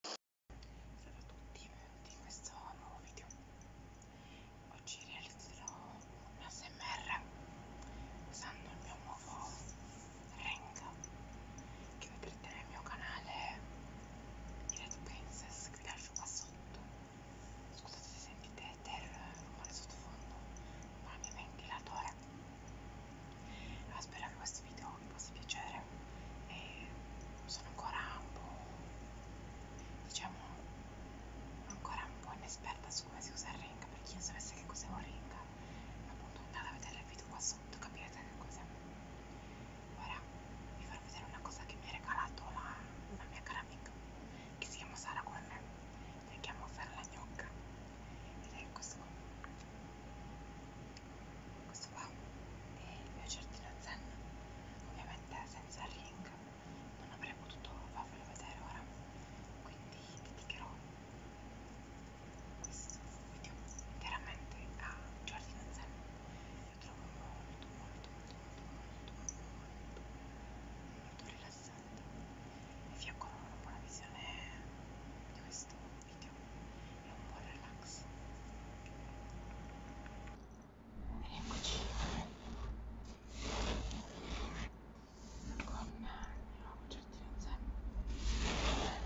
Salve a tutti di questo nuovo video oggi realizzerò un ASMR usando il mio nuovo Renga che vedrete nel mio canale di Red Princess che vi lascio qua sotto scusate se sentite del rumore sottofondo ma il mio ventilatore allora, spero che questo video mi fa piacere e sono ancora un po' diciamo ancora un po' inesperta su come si usa il ring per chi non sapesse che cos'è un ring appunto andate a vedere il video qua sotto capirete che cos'è ora vi farò vedere una cosa che mi ha regalato la, una mia cara amica che si chiama Sara come me la chiamo Fer la gnocca ed è questo qua questo qua è il mio giardino zen ovviamente senza il ring non avrei potuto farvelo vedere ora quindi dedicherò questo video chiaramente a giardino zen lo trovo molto molto molto molto molto molto molto rilassante e vi auguro una buona visione di questo video e un buon relax eccoci con il nuovo certino insieme ora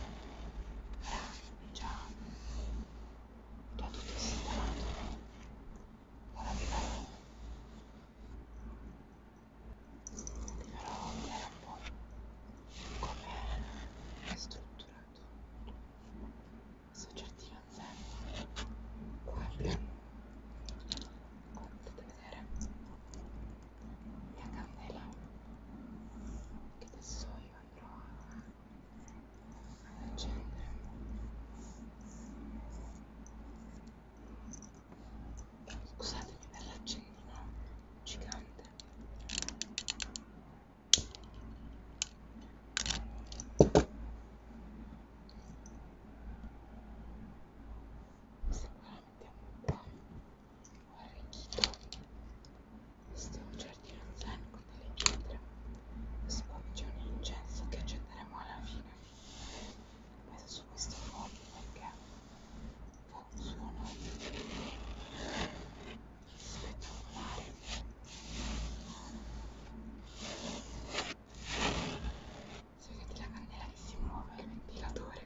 è già, già tutto sistemato ora vi farò vi farò vedere un po' come è strutturato soggetti non guarda come potete vedere mia candela che adesso io andrò ad accendere scusatemi per l'accendino gigante questo qua mettiamo un po' arricchito. Eh, questo è un giardino zen con delle pietre. Questo qua c'è un incenso che accenderemo alla fine. Ho messo su questo mobile perché fa sono spettacolari se vedete la candela che si muove il ventilatore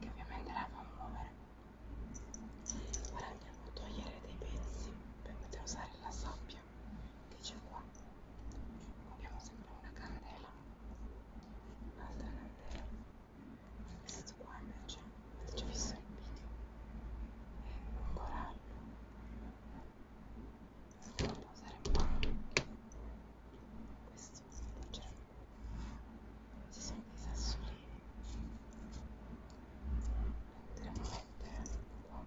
che ovviamente la fa muovere ora andiamo a togliere dei pezzi per poter usare la sabbia che c'è qua abbiamo sempre una candela un'altra candela questo qua invece l'ho visto il video è corallo si può posare un po' questo ci sono dei sassolini andiamo a mettere qua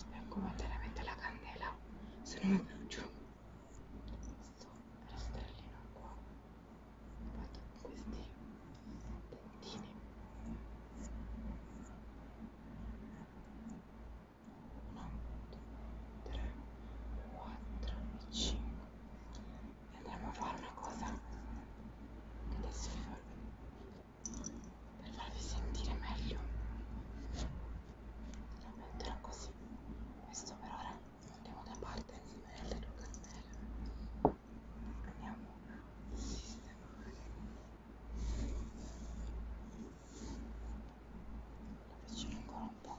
Spengo momentaneamente la candela, se no mi brucio. Questo rastrellino qua. Faccio questi dentini. Uno, due, tre, quattro e cinque. E andiamo a fare una cosa che adesso vi farò vedere per farvi sentire meglio la cioè, metterò così questo per ora andiamo da parte insieme alle due cannelle andiamo a sistemare lo avvicino ancora un po'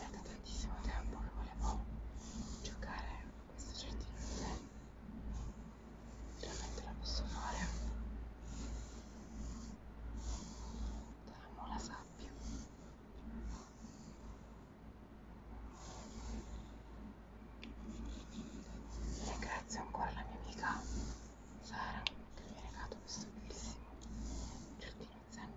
È da tantissimo tempo che volevo giocare a questo giardino finalmente lo posso fare amo la sabbia e ringrazio ancora la mia amica Sara che mi ha regalato questo bellissimo giardino zen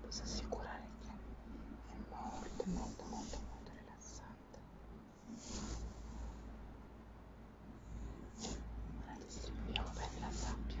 posso assicurare che è molto molto molto molto rilassante la distribuiamo bene la sabbia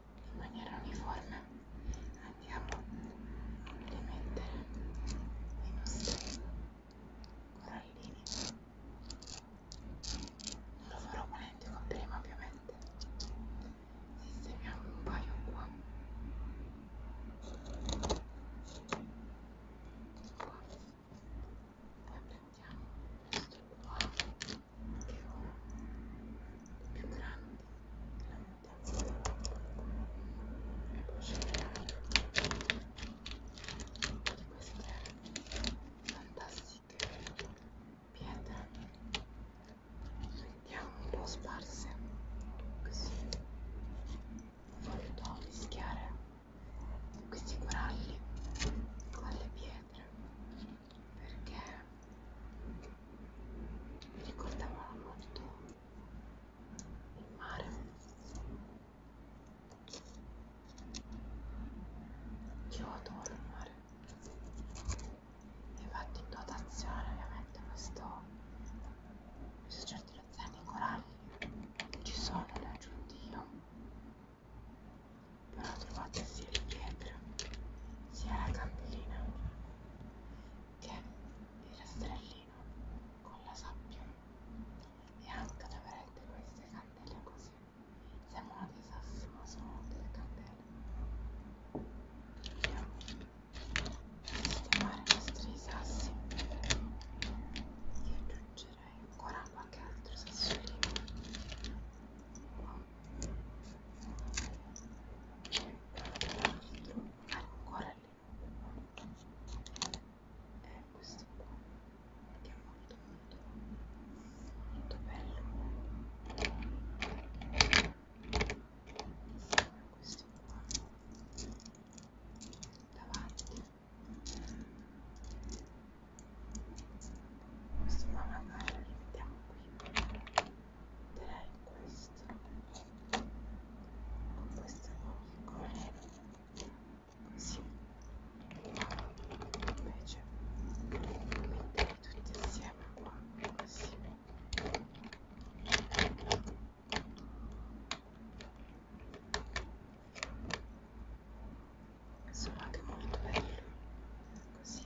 in maniera uniforme andiamo a rimettere i nostri corallini non lo farò con l'identico prima ovviamente sistemiamo un paio qua qua poi prendiamo questo qua più grandi la mutazione e posso creare di queste fantastiche pietre mettiamo un po' sparse così voluto mischiare questi coralli con le pietre perché mi ricordavano molto il mare io adoro il mare infatti in dotazione ovviamente questo questo certificato i coralli che ci sono laggiù dio però trovate sia le pietre sia la campina che il rastrellino con la sabbia e anche da vedere queste candele così sembrano dei sassi ma sono delle candele andiamo a sistemare i nostri sassi io aggiungerei ancora qualche altro sassolino 4 ah, ancora lì e questo qua che è molto molto molto bello questo qua davanti questo qua magari lo mettiamo qui questo con questo piccone così invece metterli tutti insieme qua così sono anche molto belli così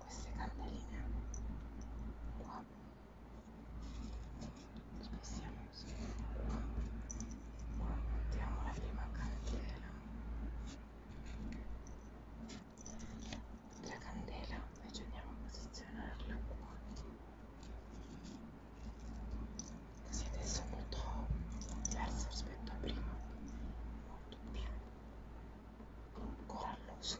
queste candeline qua spostiamo solo qua qua mettiamo la prima candela la candela invece andiamo a posizionarla qua così adesso è molto diversa rispetto a prima molto più coralloso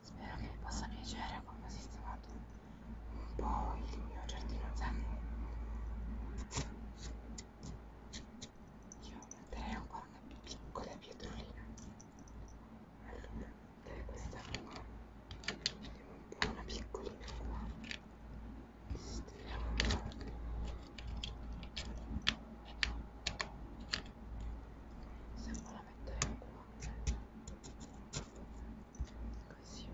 Spero che vi possa piacere come ho sistemato un po' il mio giardino zen. Io metterei ancora una piccola pietrolina allora questa qua vediamo un po' una piccolina qua stiriamo un po' se non la metteremo qua così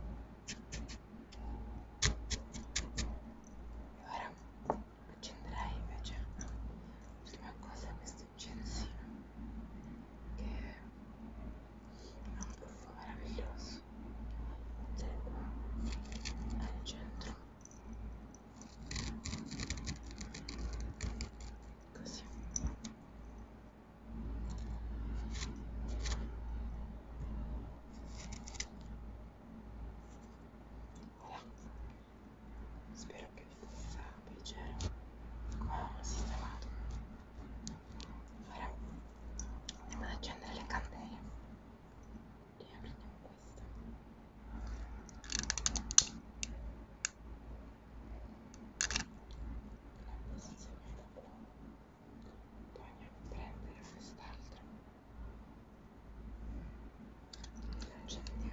ora accenderei invece l'ultima cosa questi Censino che ha un buffo meraviglioso ed è qua al centro così voilà spero che vi possa piacere come ho sistemato ora andiamo ad accendere le candele e apriamo questa la posizione da buono poi andiamo a prendere quest'altra la accendiamo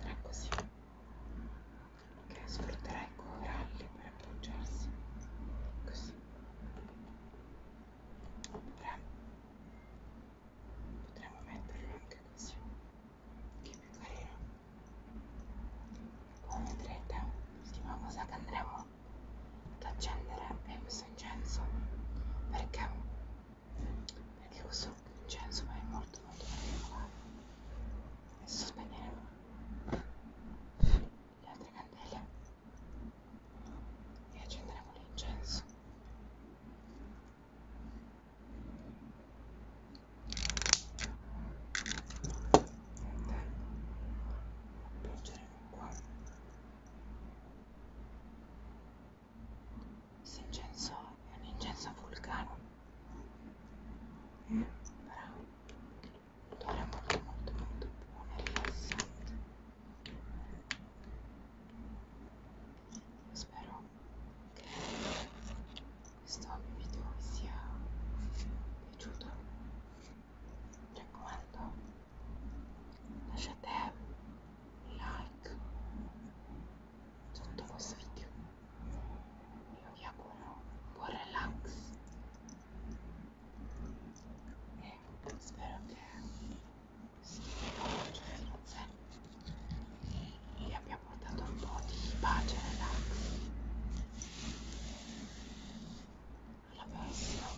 andrà così che sfrutterà i coralli per appoggiarsi così potremmo, potremmo metterlo anche così che è più carino come vedrete l'ultima cosa che andremo ad accendere è questo incenso perché perché questo cioè insomma è molto molto particolare adesso spegneremo le altre candele e accenderemo l'incenso Appoggeremo qua questo incenso è un incenso vulcano. Eh, bravo. L'odore è molto molto molto buono e rilassante. Io spero che questo video vi sia piaciuto. Mi raccomando lasciate like sotto questo video io vi auguro buon relax e spero che vi abbia portato un po' di pace e relax alla prossima